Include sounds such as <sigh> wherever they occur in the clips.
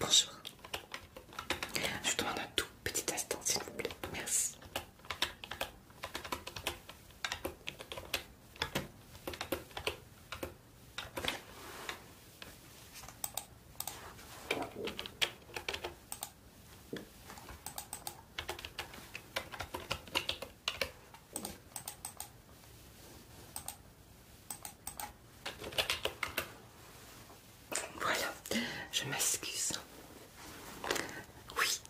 Bonjour. Je vous demande un tout petit instant, s'il vous plaît. Merci. Voilà, je m'excuse. Oui.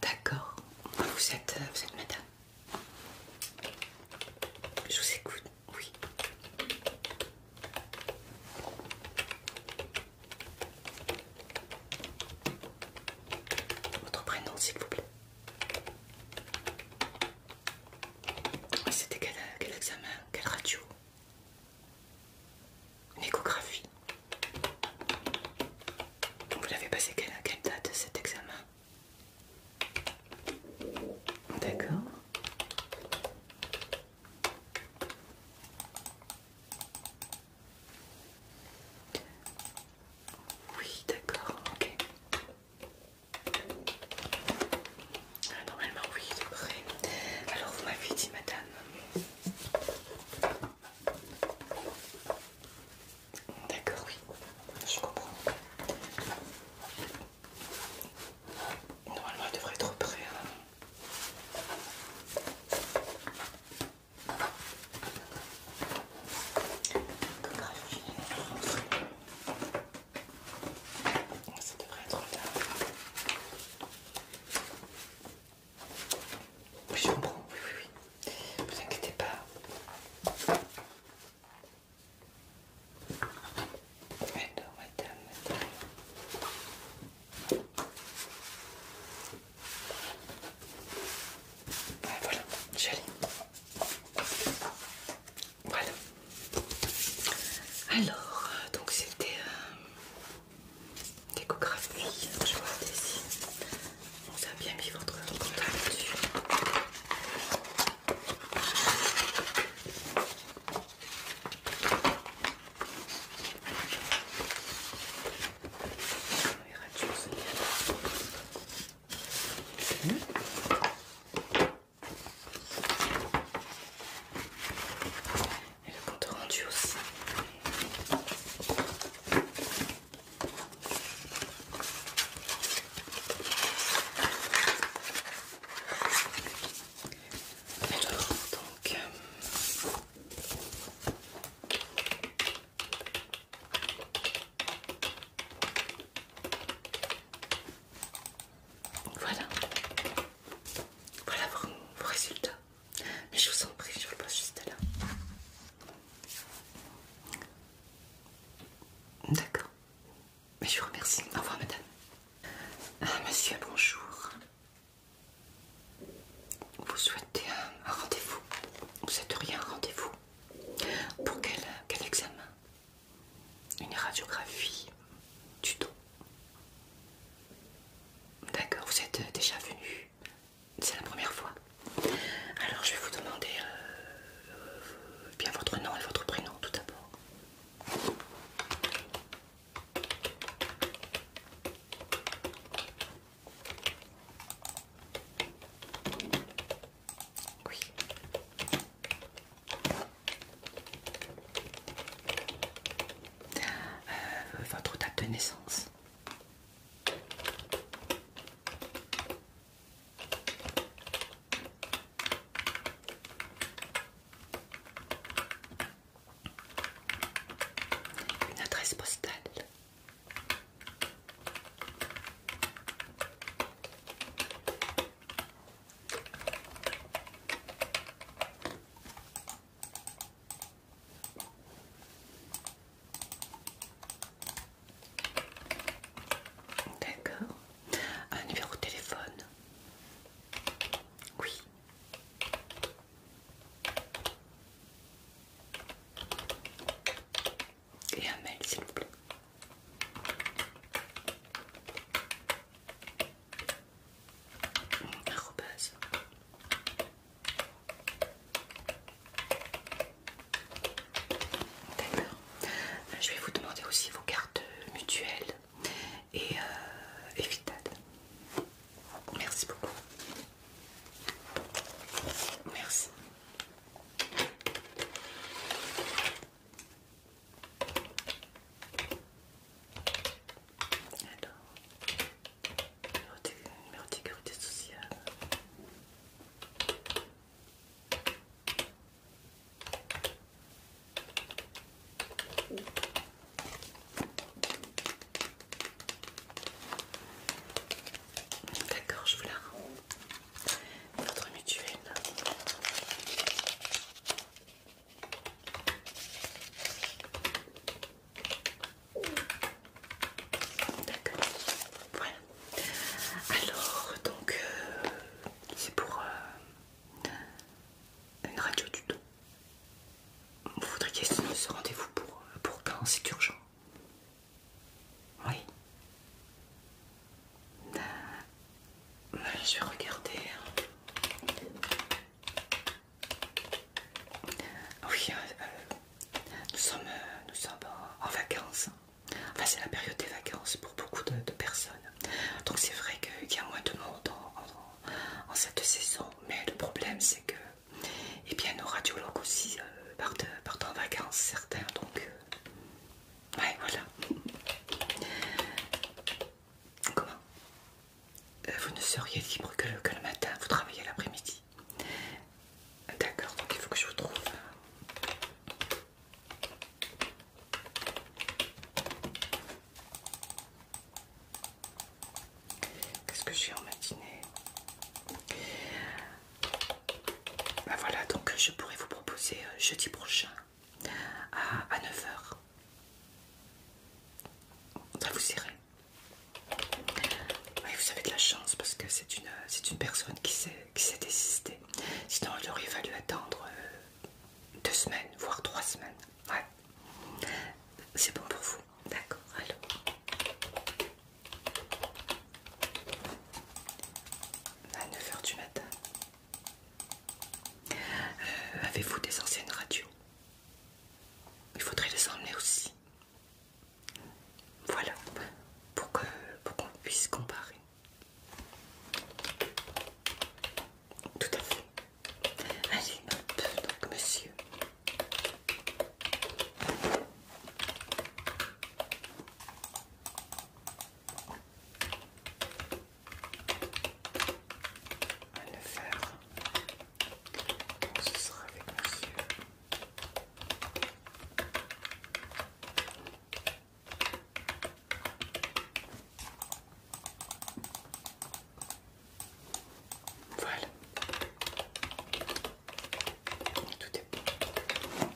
D'accord. Vous êtes, euh, vous madame. Je vous écoute, oui. Votre prénom, s'il vous plaît. c'était quel, examen Quelle radio Une échographie. Vous l'avez passé quelle, quelle date cet examen D'accord. Oui, d'accord, ok. Ah, normalement, oui, il est prêt. Alors, vous m'avez dit, madame. D'accord, oui, je comprends. Normalement, elle devrait être prêt. Hein. Ça devrait être là. Oui, je comprends, oui, oui, oui. Vous inquiétez pas. Alors, madame, madame voilà, j'allais. Voilà. Alors, donc c'était décographie. Euh, je vois ici. On vous bien mis votre dessus. Et le compte rendu aussi. donc, euh, voilà. Voilà vos, résultats. Mais je vous en prie, je vous le passe juste là. D'accord. Mais je vous remercie. Au revoir, madame. Ah, monsieur, bonjour vous souhaitez un, rendez-vous Vous rien un rendez-vous Pour quel, examen Une radiographie du dos D'accord, vous êtes déjà venu C'est la première fois Alors je vais vous demander euh, euh, bien votre nom et votre prénom tout d'abord. Euh, votre date de naissance une adresse postale. D'accord. Un numéro de téléphone. Oui. Et un mail, s'il vous plaît. D'accord. Euh, je vais vous demander aussi vos cartes mutuelles et euh, Merci beaucoup. Merci. Alors, numéro de sécurité sociale. D'accord, je vous la rends. Votre mutuelle. D'accord. Voilà. Alors, donc, euh, c'est pour euh, une radio du tout. Vous voudriez ce rendez-vous pour quand c'est urgent oui. Bah, je vais regarder. Hein. Oui, euh, euh, nous sommes, euh, en vacances. Enfin, c'est la période des vacances pour beaucoup de, personnes. Donc c'est vrai qu'il y a moins de monde en cette saison. Mais le problème, c'est que et bien nos radiologues aussi euh, partent, euh, en vacances certains donc euh, ouais voilà comment vous ne seriez libre que le matin vous travaillez l'après-midi d'accord donc il faut que je vous trouve Qu'est-ce que j'ai en matinée bah voilà, donc je pourrais vous proposer euh, jeudi prochain à 9h. Ça vous irait vous avez de la chance parce que c'est une, euh, une personne qui s'est désistée. Sinon, il aurait fallu attendre euh, deux semaines, voire trois semaines. Ouais. C'est bon pour vous. D'accord. Alors à 9h du matin. Euh, avez-vous des anciennes radios Il faudrait les emmener aussi. Voilà, pour qu'on puisse comparer. Tout à fait. Allez, hop, donc monsieur à le faire. Donc, ce sera avec monsieur. Voilà. tout est bon.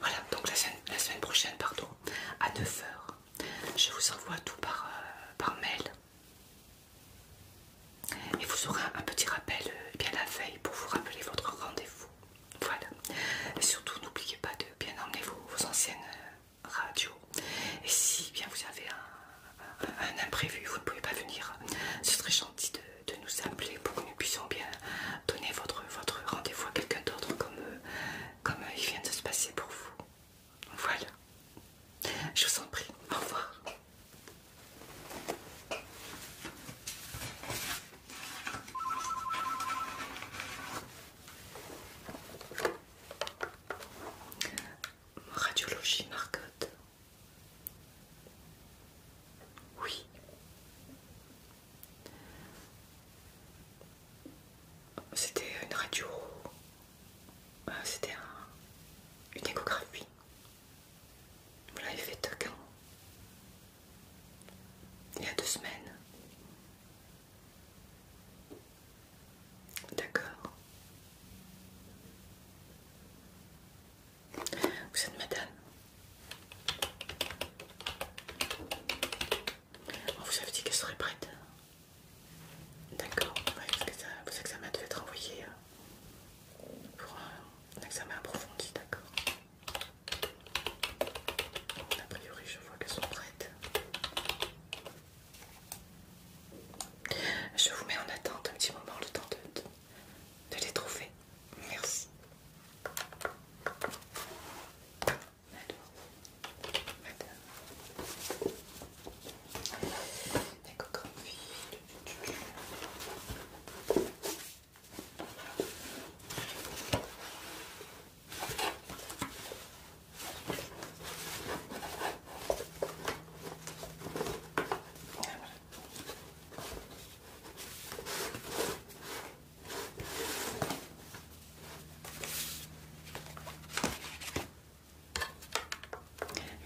Voilà, donc la semaine, prochaine, pardon, à 9h, je vous envoie tout par, euh, par mail. Et vous aurez un, petit rappel euh, eh bien la veille pour vous rappeler votre rendez-vous. Voilà. Et surtout, n'oubliez pas de bien emmener vos, anciennes euh, radios. Et si bien vous avez un un, imprévu, vous ne pouvez pas venir, ce serait gentil de, nous appeler pour que nous puissions bien donner votre, rendez-vous à quelqu'un d'autre comme, comme il vient de se passer pour vous. Voilà. Je vous en prie. Au revoir. Radiologie Marcotte. Oui. C'était une radio. Euh, c'était une échographie. Vous l'avez fait quand Il y a deux semaines. D'accord. Vous êtes madame On oh, vous avez dit qu'elle serait prête. D'accord, vous vos examens devaient être envoyés hein. pour un examen approfondi, d'accord A priori, je vois qu'elles sont prêtes. Je vous mets en attente un petit moment le temps de, de, les trouver. Merci.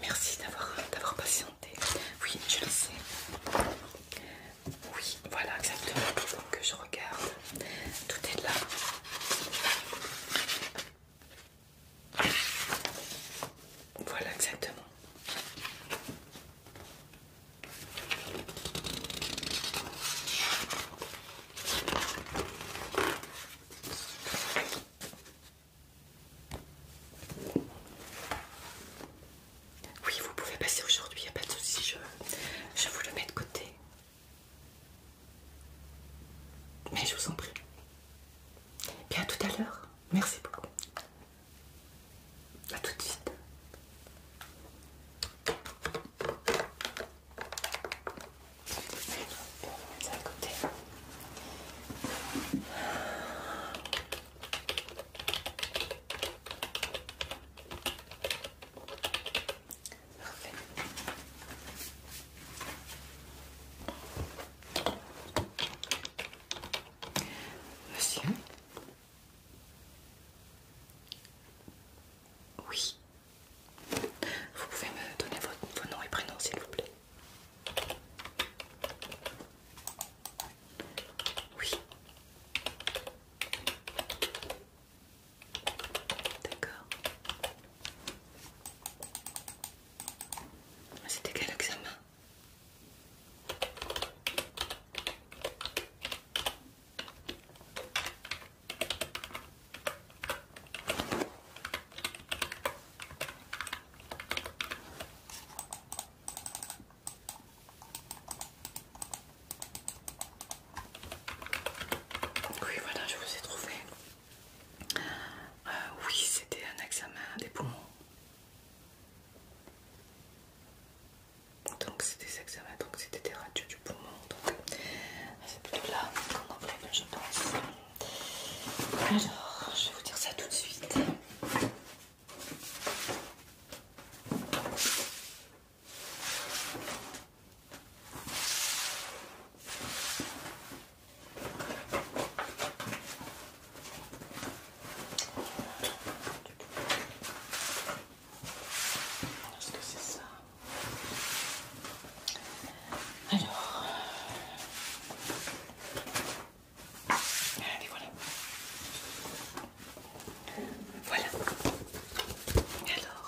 Merci d'avoir patienté. Oui, je le sais. Oui, voilà exactement. que je regarde. Tout est là. Voilà exactement. Oui, vous pouvez passer aujourd'hui, il n'y a pas de souci, je, je vous le mets de côté. Mais je vous en prie. Bien à tout à l'heure. Merci beaucoup. A tout de suite. Monsieur Oui. Vous pouvez me donner votre, vos noms et prénoms, s'il vous plaît. Oui. D'accord. C'était quel examen oui, voilà, je vous ai trouvé. Euh, oui, c'était un examen des poumons. Donc c'était ça examens, donc c'était des radios du poumon. Euh, c'est plutôt là qu'on fait je pense. Alors, je vais vous dire ça tout de suite. Est-ce que c'est ça Alors, allez voilà. Voilà. Alors.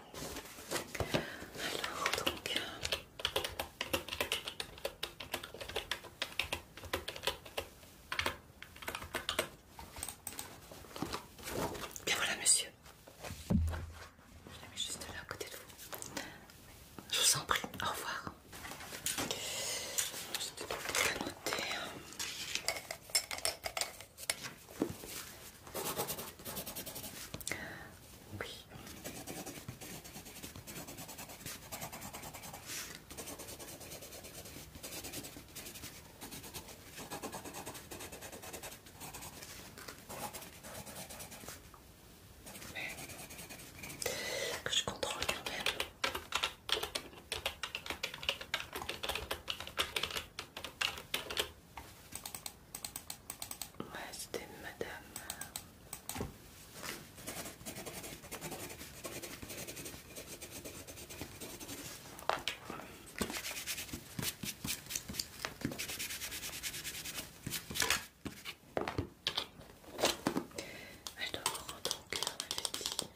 Alors, donc. Bien voilà, monsieur. Je l'ai mis juste là à côté de vous. Je vous en prie, au revoir. Je oui. Mais que je contrôle même. Ouais, c'était madame. Elle doit me rendre au cœur, ma petite.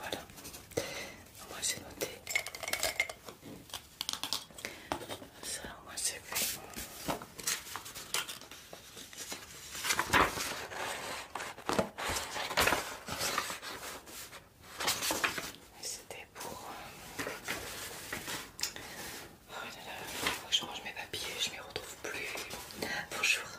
Voilà, moi j'ai noté. Ça, moi c'est fait. C'était pour. Euh, oh là faut que je range mes papiers, je m'y retrouve plus. Bonjour je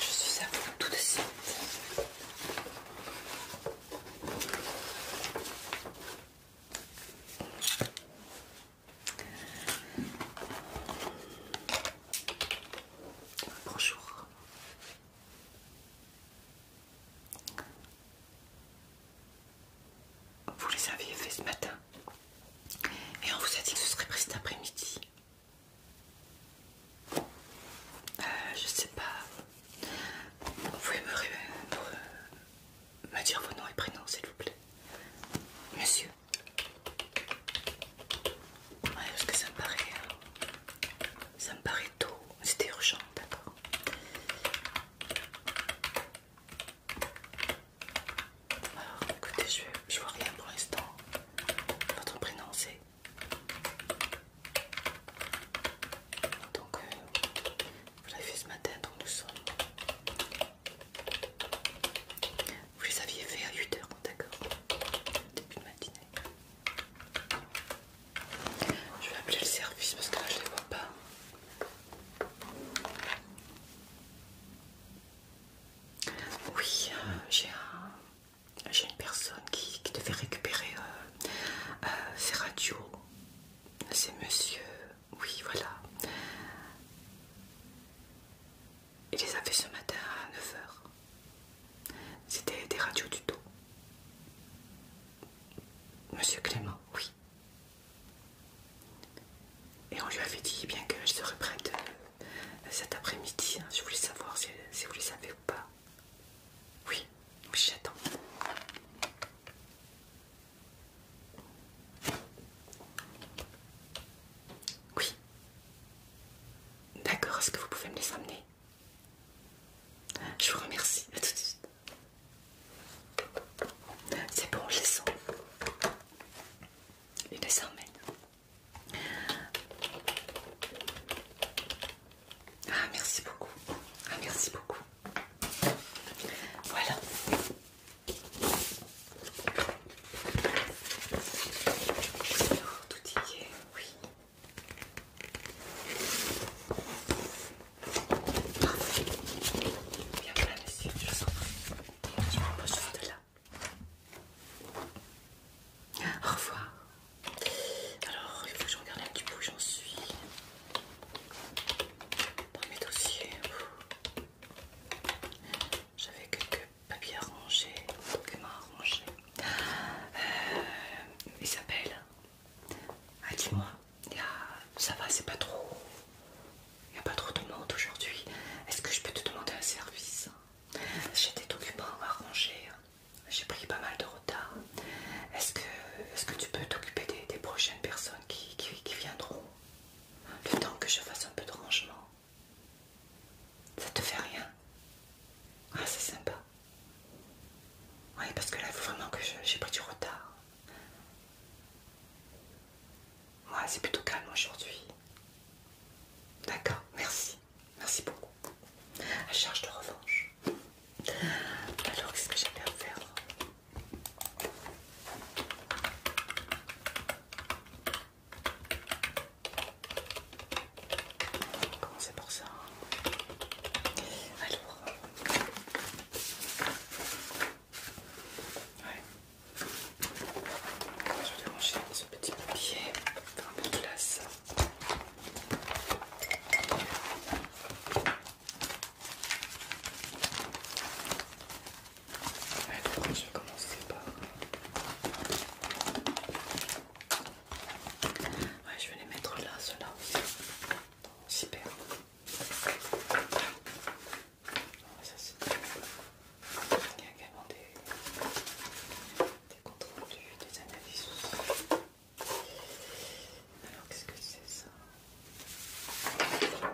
suis à vous tout de suite. Bonjour. Vous les aviez fait ce matin et on vous a dit que ce serait pris cet après-midi. Euh, je sais pas. Vous pouvez me, peu me dire vos noms et prénoms, s'il vous plaît. Monsieur. Ouais, parce que ça me paraît... Euh, ça me paraît tôt. C'était urgent, d'accord. Alors, écoutez, je, vois rien pour l'instant. Votre prénom, c'est... Donc, euh, vous l'avez fait ce matin, donc nous sommes. Vous les aviez fait à 8h, d'accord Début de matinée. Je vais appeler le service parce que là je les vois pas. Oui, euh, j'ai un, une personne qui, devait récupérer euh, euh, ses radios. C'est monsieur euh, oui, voilà. Il les a fait ce matin à 9h. C'était des radios tuto. Monsieur Clément, oui. Et on lui avait dit bien que je serais prête euh, cet après-midi. Je hein, voulais savoir si, vous les savez ou pas. Oui, oui, j'attends. Oui. D'accord, est-ce que vous pouvez me les emmener Je vous remercie. À tout de suite. C'est bon, je les sens. Je les emmène. Ah, merci beaucoup. Ah, merci beaucoup. Voilà. tout y oui. Parfait. Bien plein monsieur, je là. Au revoir. Alors, il faut que je regarde un petit peu où j'en suis. Dans mes dossiers, j'avais quelques papiers à ranger, documents à ranger. Euh, Isabelle, ah, dis-moi, ça va, c'est pas trop. Il n'y a pas trop de monde aujourd'hui. Est-ce que je peux te demander un service J'ai des documents à ranger. J'ai pris pas mal de retard. Est-ce que, est que tu peux t'occuper des, des projets personnes qui, qui, viendront. Le temps que je fasse un peu de rangement. Ça te fait rien Ah, c'est sympa. Oui, parce que là, il faut vraiment que j'ai pris du retard. Moi, c'est plutôt calme aujourd'hui. D'accord, merci. Merci beaucoup. À charge de revanche. Alors, qu'est-ce que j'avais à faire Commencez pour ça. Alors. Ouais. Je vais ranger ce petit papier. Faire un peu de place je vais commencer par. je vais les mettre là, ceux-là. Super. Ça, c'est Il y a également des, des comptes rendus, des analyses Alors, qu'est-ce que c'est ça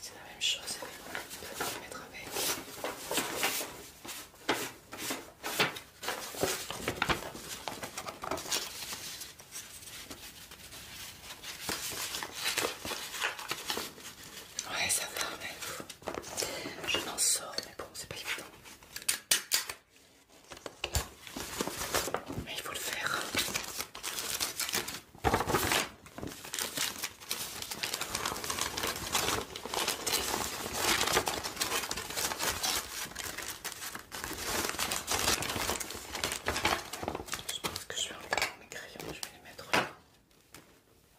c'est la même chose, vais peut mettre avec. Ouais, ça va, mais je n'en sors, mais bon, c'est pas évident. Mais il faut le faire. Je pense que je vais enlever mes crayons, je vais les mettre là.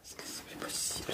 Est-ce que c'est possible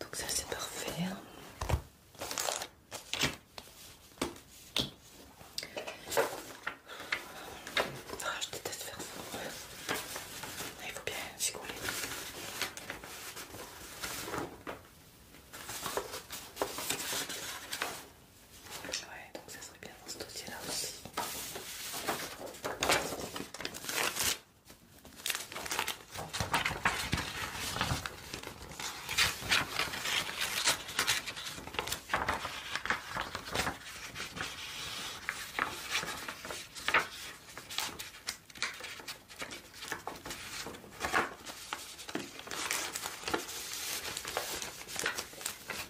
Donc ça c'est parfait. Hein. Ah, je déteste faire ça. Ah, il faut bien s'y coller. Ouais, donc ça serait bien dans ce dossier-là aussi.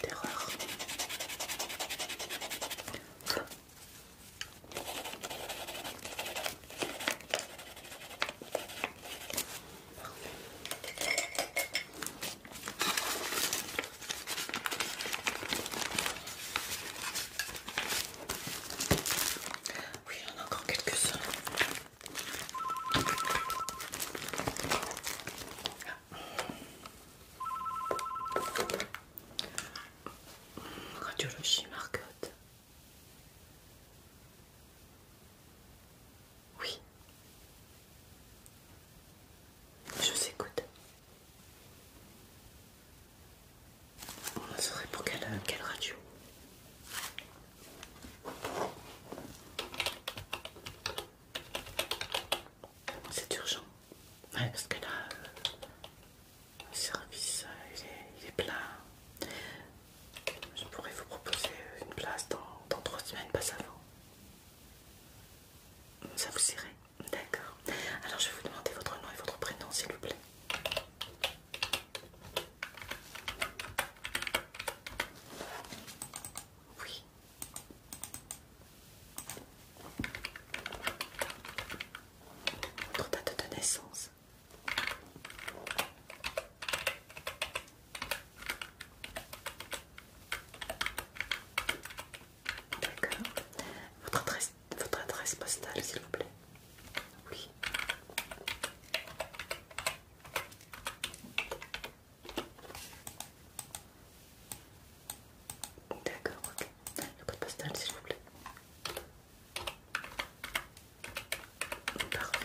Terreur. Oui, on a encore quelques-uns. Radiologie Marcotte. Oui. Je s'écoute. On serait pour quelle radio c'est urgent. Ouais, parce que là, le service euh, il, est, plein. Je pourrais vous proposer une place dans, dans trois semaines, pas avant. Ça vous irait D'accord. Alors je vais vous demander votre nom et votre prénom, s'il vous plaît. Oui. Votre date de naissance. Votre adresse, votre adresse postale, s'il vous plaît. Oui. D'accord, ok. Le code postal, s'il vous plaît. Parfait.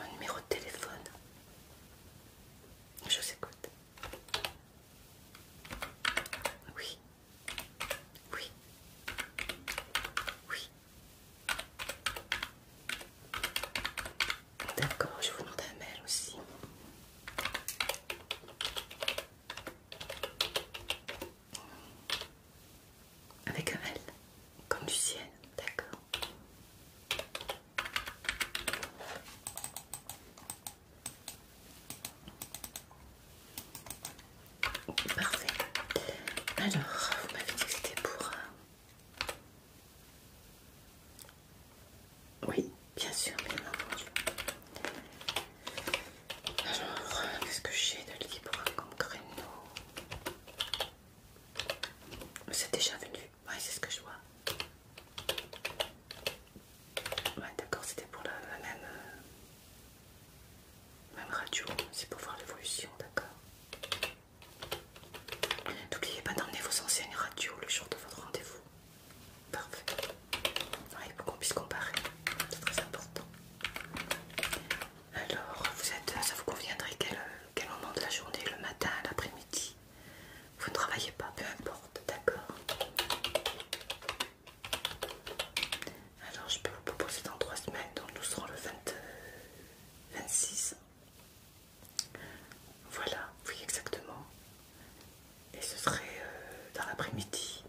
Un numéro de téléphone. Je vous écoute. Oui. Oui. Oui. D'accord, je vous demande un aussi. Avec un L, comme du ciel, d'accord. Parfait. Alors, vous m'avez dit que c'était pour... Oui, bien sûr, bien entendu. Alors, qu'est-ce que j'ai de libre comme créneau C'est déjà venu, Oui, c'est ce que je vois. Ouais, d'accord, c'était pour la, la même... Euh, même radio, c'est pour voir l'évolution, d'accord N'oubliez pas d'emmener vos anciennes radios le jour de votre rendez-vous. Parfait. Oui, ah, pour qu'on puisse comparer, c'est très important. Alors, vous êtes, ça vous conviendrait quel, quel moment de la journée Le matin, l'après-midi Vous ne travaillez pas, peu importe, d'accord alors je peux vous proposer dans trois semaines, donc nous serons le 26. Euh, voilà, oui exactement. Et ce serait euh, dans l'après-midi.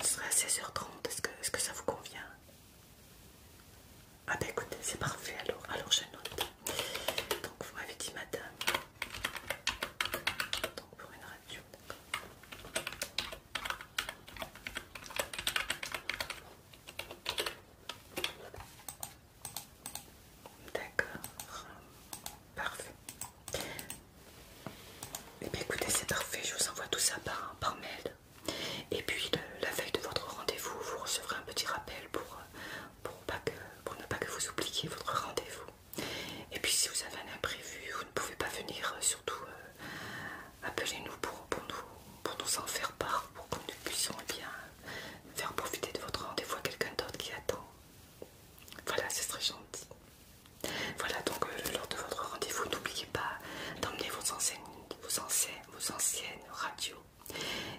Ce serait à 16h30, est-ce que, ça vous convient Ah bah écoutez, c'est parfait alors, alors je note. Donc vous m'avez dit madame. Donc pour une radio, d'accord. D'accord, parfait. Eh bien écoutez, c'est parfait, je vous envoie tout ça par, par mail. Et puis la veille de votre rendez-vous, vous recevrez un petit rappel pour, euh, pour, pas que, pour ne pas que vous oubliez votre rendez-vous. Et puis si vous avez un imprévu, vous ne pouvez pas venir, euh, surtout euh, euh, appelez-nous pour, nous, pour nous en faire part, pour que nous puissions eh bien, faire profiter de votre rendez-vous à quelqu'un d'autre qui attend. Voilà, ce serait gentil. Voilà, donc euh, lors de votre rendez-vous, n'oubliez pas d'emmener vos anciennes, vos, anciennes, radios,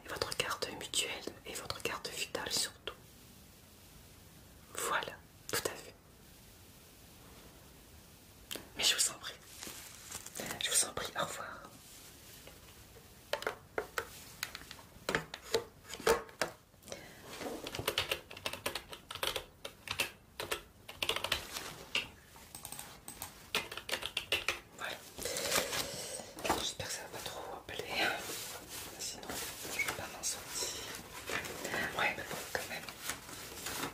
votre carte mutuelle et votre carte vitale surtout. Voilà, tout à fait. Mais je vous en prie. Je vous en prie, au revoir. Voilà. J'espère que ça va pas trop appeler. Hein. Sinon, je ne vais pas m'en sortir. Ouais, mais bon, quand même.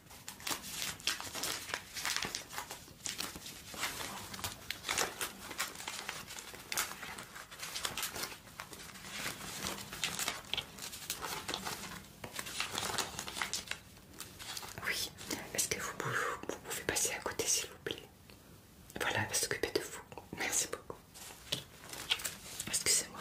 Oui, est-ce que vous pouvez, vous passer à côté s'il vous plaît Voilà, elle s'occuper de vous. Merci beaucoup. Excusez-moi.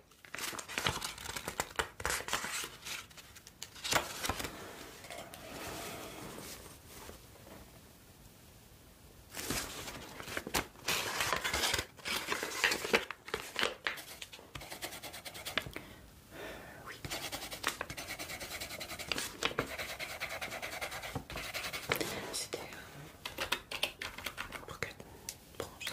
Oui. C'était un euh, pour que branches.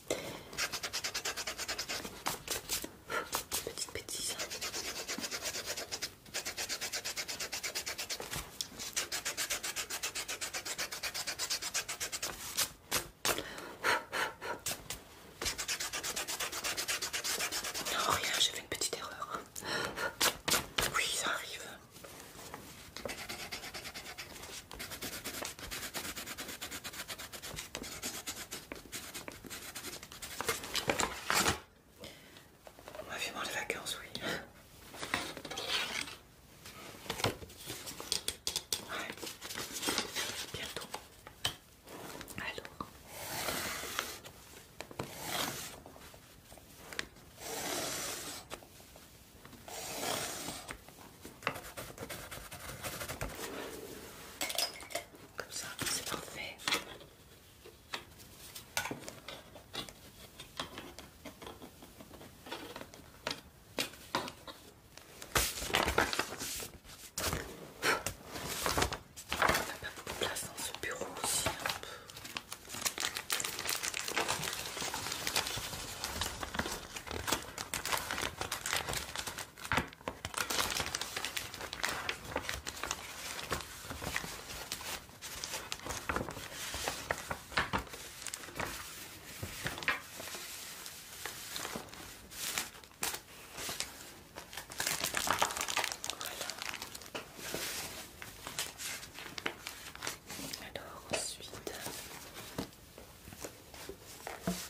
Petite bêtise. Non, rien, j'ai fait une petite erreur. Oui, ça arrive. On va vivement les vacances, oui. Ouais. Bientôt. Alors. Comme ça, c'est parfait. On n'a pas beaucoup de place dans ce bureau aussi. Hein. Alors ensuite, non,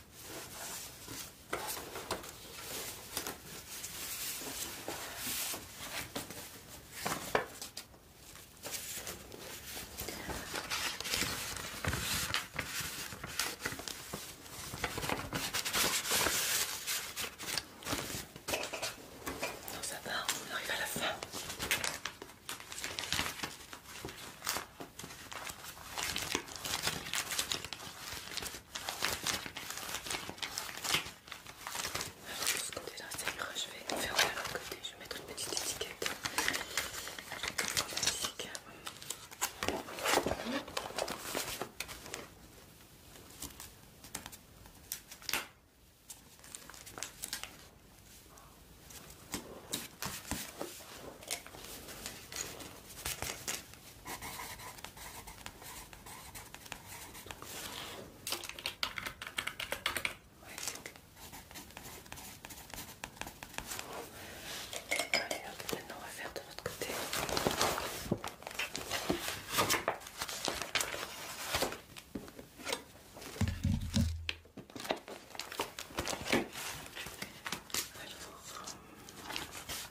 ça va, on arrive à la fin. Alors de ce côté-là, ça Je vais faire de l'autre côté. Je vais mettre une petite étiquette. Allez, hop, maintenant on va faire de l'autre côté.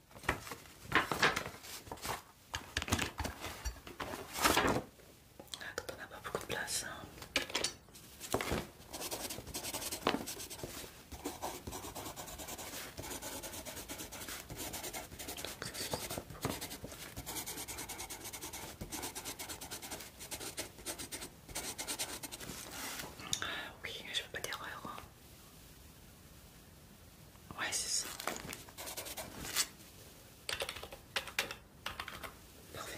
Quand on n'a pas beaucoup de place. Hein. Oui, je veux pas d'erreur. Hein. Ouais, c'est ça. Parfait.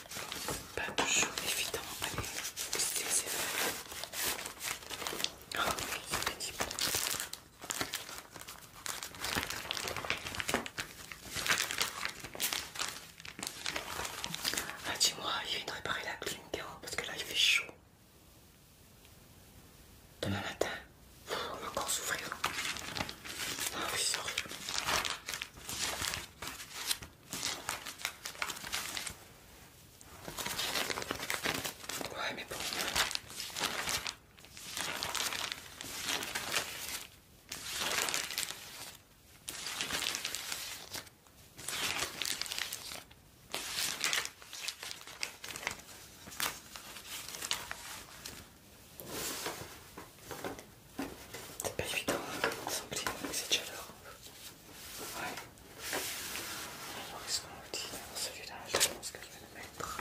toujours évidemment. Allez, c'était Ah c'est vrai. Ah, ah dis-moi, il vient de réparer la car parce que là il fait chaud. Demain matin, on va encore souffrir. Ah oui, c'est horrible. Ouais, mais C'est pas évident, hein, de sans c'est Ouais. Alors, qu'est-ce qu'on dit ce là je que le mettre.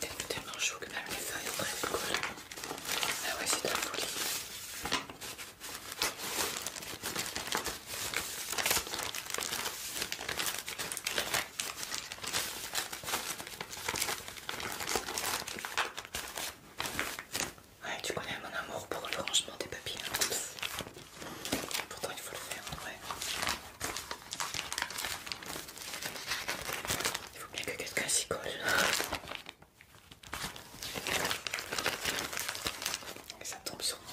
T'es tellement chaud que même les feuilles ont très collées. Ah ouais, c'est de la folie. Ouais, tu connais mon amour pour le rangement des papiers. Hein. Pourtant, il faut le faire, ouais. Il faut bien que quelqu'un s'y colle. ça tombe sur moi.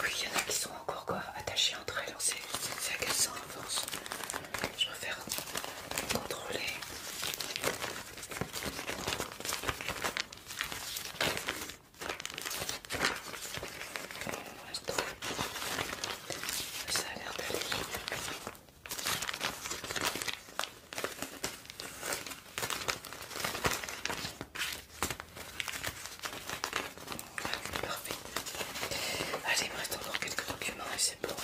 Oui, il y en a qui sont encore quoi, attachés entre elles, c'est à quel en force, Je préfère contrôler. Ça a l'air d'aller. parfait. Allez, il me reste encore quelques documents et c'est bon.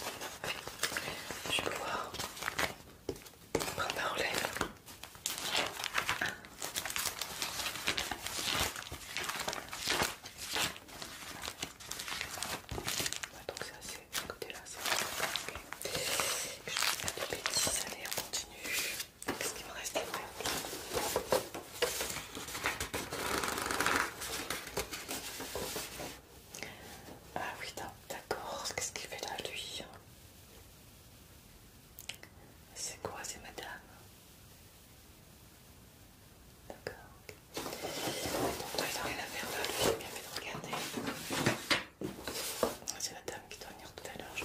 je vais pouvoir prendre ma relève donc ça c'est ce côté-là, c'est ok. Je vais faire des bêtises, allez on continue. Qu'est-ce qu'il me reste à faire Ah oui, d'accord, qu'est-ce qu'il fait là lui C'est quoi, c'est madame D'accord. Donc toi, il a rien à faire là, fait de regarder. Ah, c'est la dame qui doit venir tout à l'heure, je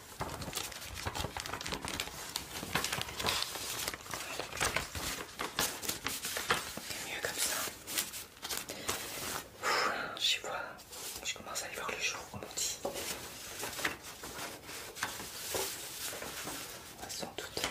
C'est mieux comme ça. je vois, je commence à y voir le jour, comme on dit. Ah, sans doute.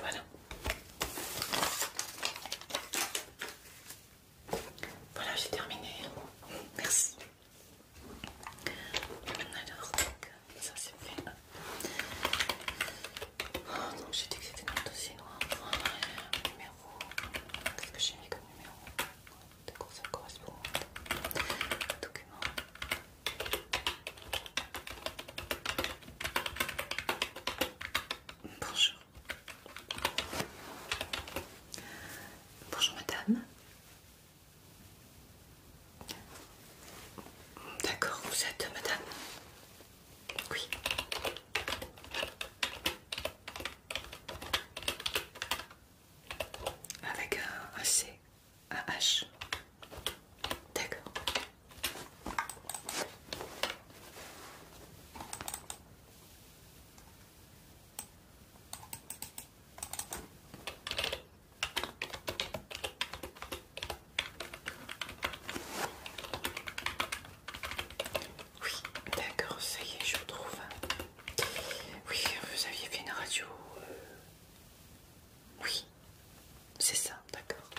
Voilà. Voilà, j'ai terminé. Merci. Alors, donc, ça c'est fait. Oh, donc j'ai dit que c'était dans dossier noir. Numéro. Qu'est-ce que j'ai mis comme numéro D'accord, ça correspond document. Bonjour. Bonjour madame. D'accord, vous êtes madame Oui. Avec un, C, un H. D'accord. Oui, d'accord, ça y est, je trouve. Oui, vous aviez fait une radio. Euh, oui, c'est ça, d'accord.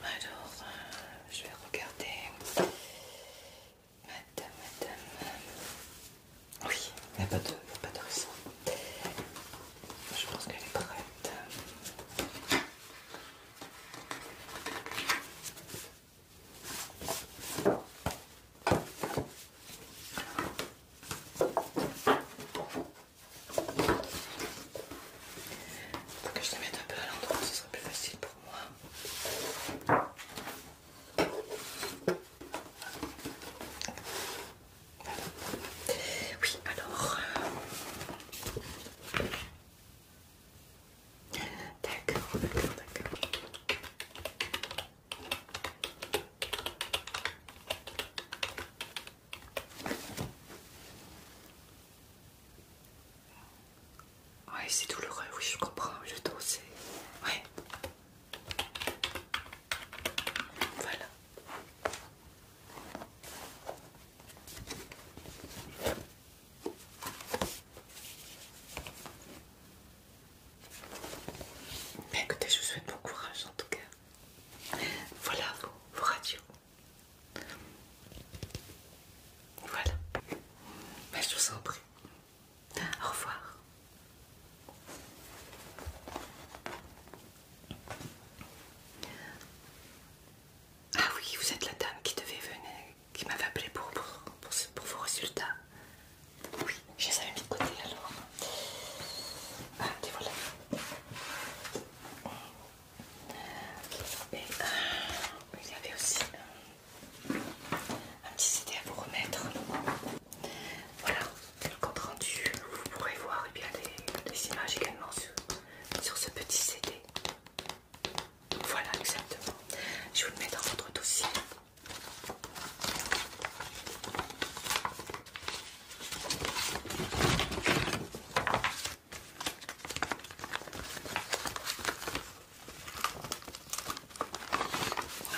Alors, euh, je vais regarder. Madame, madame. Oui, il n'y a pas de, pas de Je pense qu'elle est prête. Pour que je te mette un peu à l'endroit, ce sera plus facile pour moi. Oui, alors... Euh, D'accord, d'accord, d'accord. Ouais, c'est douloureux, oui, je comprends. Le dos, c'est. Ouais. Voilà. Mais écoutez, je vous souhaite bon courage en tout cas. Voilà vos, radios. Voilà. Ben, je vous en Au revoir. Ah oui, vous êtes la dame qui devait venir, qui m'avait appelé pour, pour, vos résultats. Oui, je les avais mis de côté alors. Ah, Et voilà. Et euh, il y avait aussi euh, un petit CD à vous remettre. Voilà, le compte rendu. Vous pourrez voir bien, les, images également sur ce petit CD. Voilà, exactement. Je vous le mets dans votre dossier.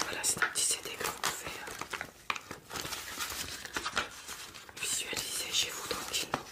Voilà, c'est un petit CD que vous pouvez euh, visualiser chez vous tranquillement.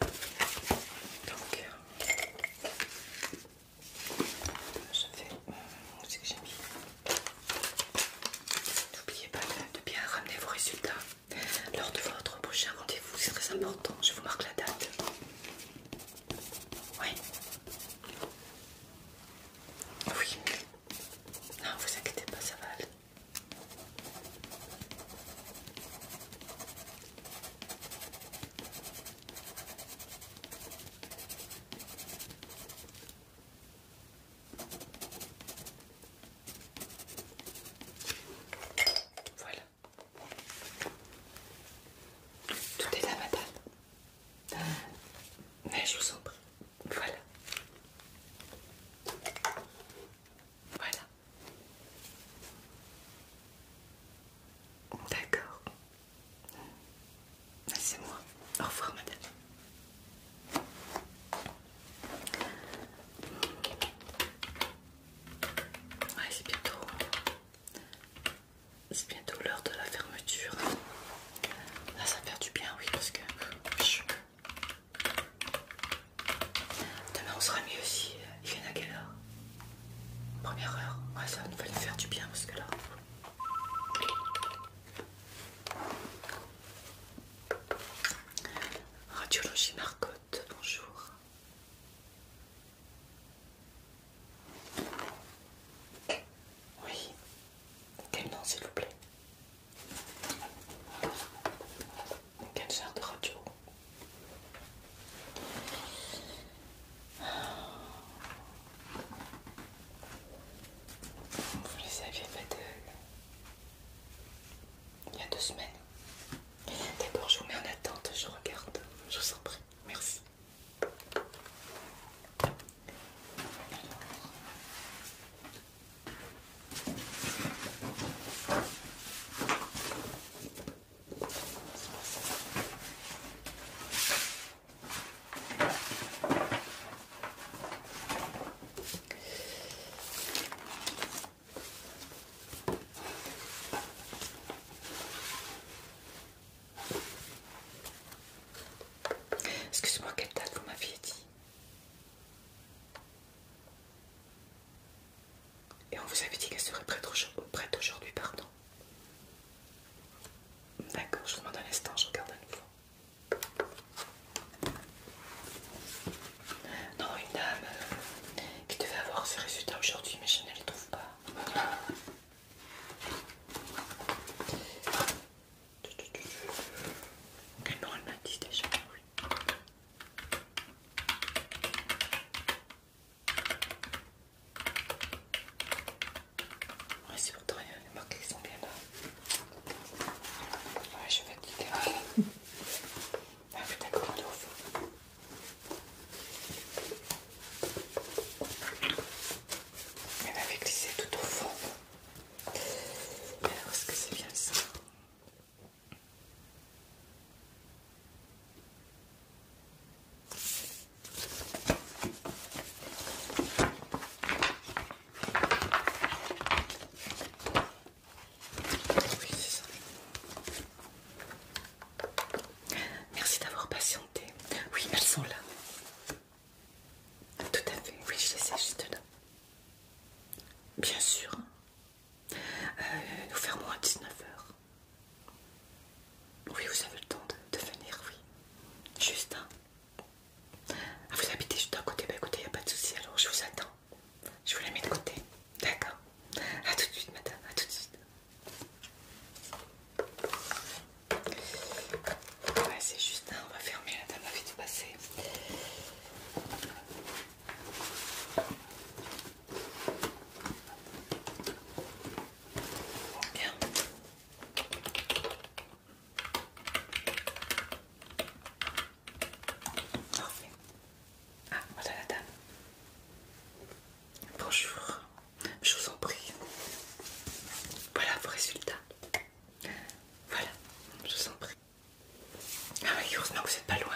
Donc, euh, je fais. Euh, où c'est que j'ai mis N'oubliez pas de bien ramener vos résultats lors de votre prochain rendez-vous, c'est très important. Je vous marque la date. Oui. Oui. Non, vous inquiétez pas, ça va aller. Voilà. Tout est là, madame. Mais je vous en prie. Voilà. Voilà. D'accord. Ah, c'est moi. Au revoir, madame. c'est bientôt. C'est bientôt l'heure de la fermeture. Là, ça fait du bien, oui, parce que. Demain on sera mieux aussi. Il vient à quelle heure Première heure. Ouais, ça va nous faire du bien parce que là. Radiologie Marcotte, bonjour. Oui. Quel nom s'il vous plaît quel de radio Vous les aviez faites euh, il y a deux semaines. D'abord, je vous mets en attente, je regarde, je vous en prie. Merci excusez moi quelle date vous m'aviez dit et on vous avait dit qu'elle serait prête aujourd'hui, pardon. D'accord, je vous demande un instant, je regarde à nouveau. Non, une dame euh, qui devait avoir ses résultats aujourd'hui, mais je ne les trouve pas. Elle m'a dit déjà, c'est pour toi, les marques sont bien là. Ouais, je vais te Elle ah, au fond Elle avait glissé tout au fond. Alors, est-ce que c'est bien ça Merci d'avoir patienté. Oui, elles sont là. Tout à fait, oui, je les ai juste là. Bien sûr, euh, nous fermons à 19h. Oui, vous avez le temps de, venir, oui. Juste, hein. Ah, vous habitez juste à côté Bah écoutez, il a pas de souci, alors je vous attends. Je vous la mets de côté. D'accord. A tout de suite, madame. à tout de suite. Ouais, c'est juste, on va fermer la dame va vite passer. Ah, voilà la dame. Bonjour, je vous en prie. Voilà vos résultats. Voilà, je vous en prie. Ah mais heureusement vous n'êtes pas loin.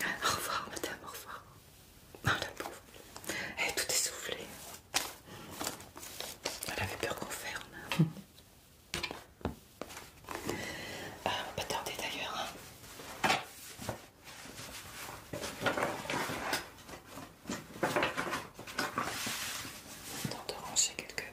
au revoir, madame, au revoir. Oh, la pauvre. Elle est toute essoufflée. Elle avait peur qu'on ferme. Ah, on va pas tarder d'ailleurs. Hein. ranger quelques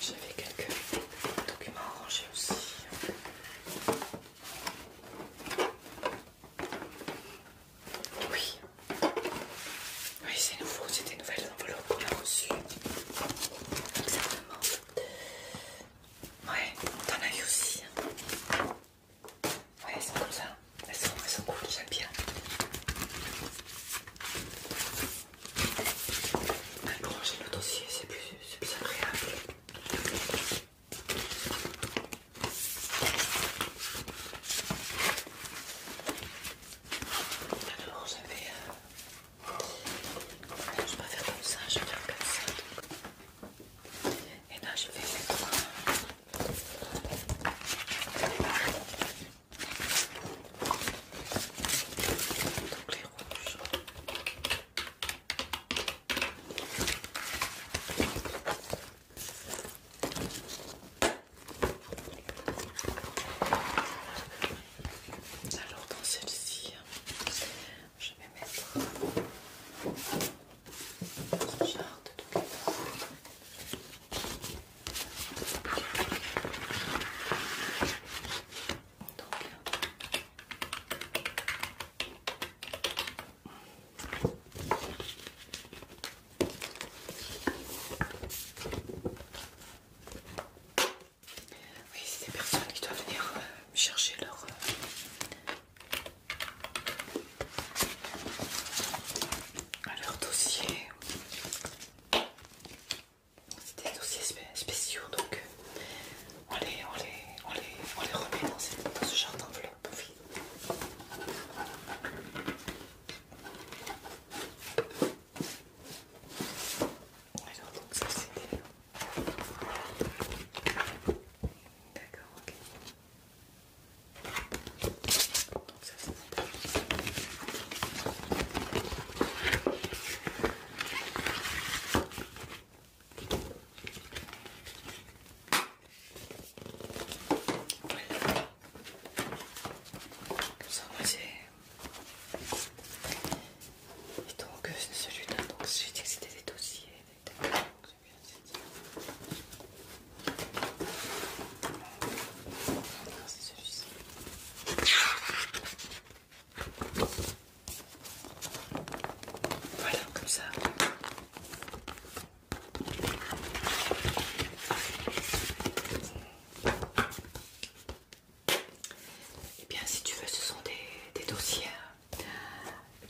J'avais quelques documents à ranger aussi. Oui, oui c'est nouveau, c'est des nouvelles enveloppes qu'on a reçues. Exactement. Ouais, t'en as eu aussi. Hein. Ouais, elles sont comme ça. Elles sont, cool, j'aime bien. Elles j'ai le dossier, c'est plus, agréable. Alors je vais... Non, euh, je vais pas faire comme ça, je vais faire comme ça. Et là je vais mettre... Alors dans celle-ci, je vais mettre c'est des personnes qui doivent venir euh, chercher leur, euh, alors, dossier. C'est des dossiers spéciaux, donc euh, on les, on les, on les, on les remet dans, cette, ce genre d'enveloppe Alors, donc ça c'est... D'accord, ok. Donc ça c'est Comme ça Et donc euh, celui-là, donc c'était des dossiers, voilà, comme ça. Et eh bien, si tu veux, ce sont des, dossiers euh,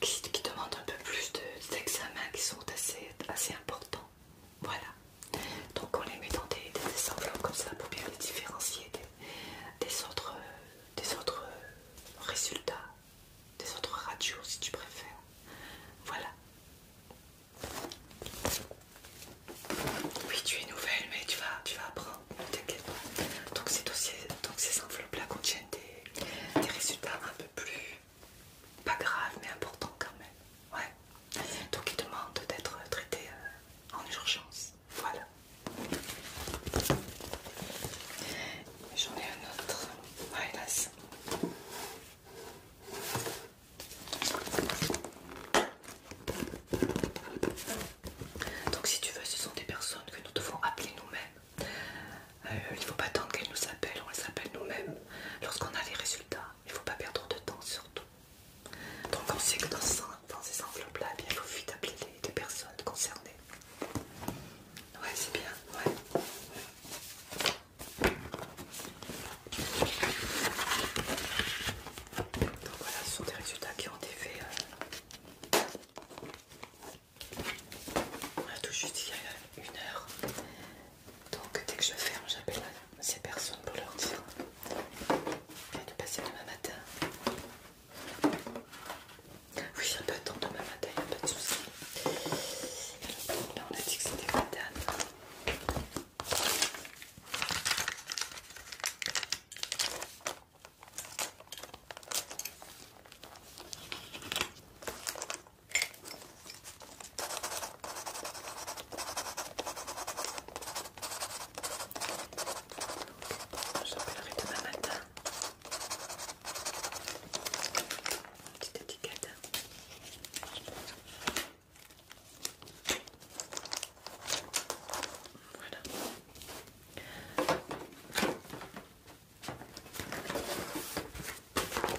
qui, demandent un peu plus d'examens qui sont assez, assez importants. Voilà. Donc on les met dans des, enveloppes comme ça pour bien les différencier des, autres, des autres euh, euh, résultats, des autres radios si tu préfères. Voilà. Oui, tu es nouvelle, mais tu vas, tu vas apprendre, Donc ces, dossiers, donc ces enveloppes là contiennent des résultats un peu plus pas grave mais important quand même. Ouais. Donc il demande d'être traité euh, en urgence. Voilà. J'en ai un autre. Donc si tu veux, ce sont des personnes que nous devons appeler nous-mêmes. Euh, il ne faut pas attendre qu'elles nous appellent, on les appelle nous-mêmes lorsqu'on a les résultats il faut pas perdre de temps surtout. Donc on sait que dans, ces enveloppes-là, eh il faut vite appeler les, personnes concernées. Ouais, c'est bien, Donc voilà, ce sont des résultats qui ont été faits. a euh. Tout juste il y a une heure, donc dès que je ferme, j'appelle ces personnes pour leur dire a de passer demain matin. Oui, ça peut attendre demain matin, il n'y a pas de soucis. là, on a dit que c'était matin. J'appellerai demain matin. Une petite étiquette. Voilà.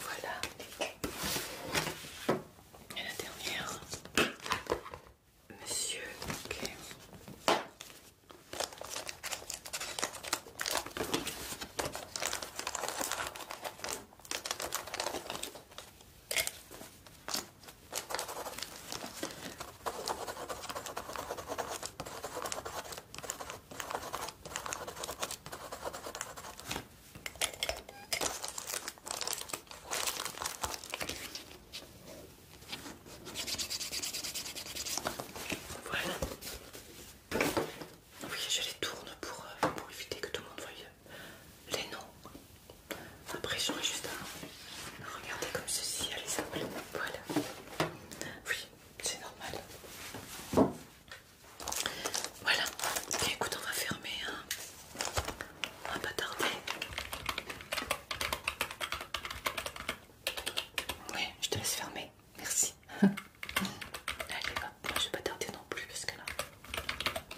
Voilà. Et la dernière. Monsieur. Voilà. Oui, je les tourne pour, euh, pour éviter que tout le monde voie les noms. Après, j'aurais juste à regarder comme ceci, elle les Voilà. Oui, c'est normal. Voilà. Ok écoute, on va fermer. On va pas tarder. Oui, je te laisse fermer. Merci. <laughs> Allez, va. je vais pas tarder non plus parce là,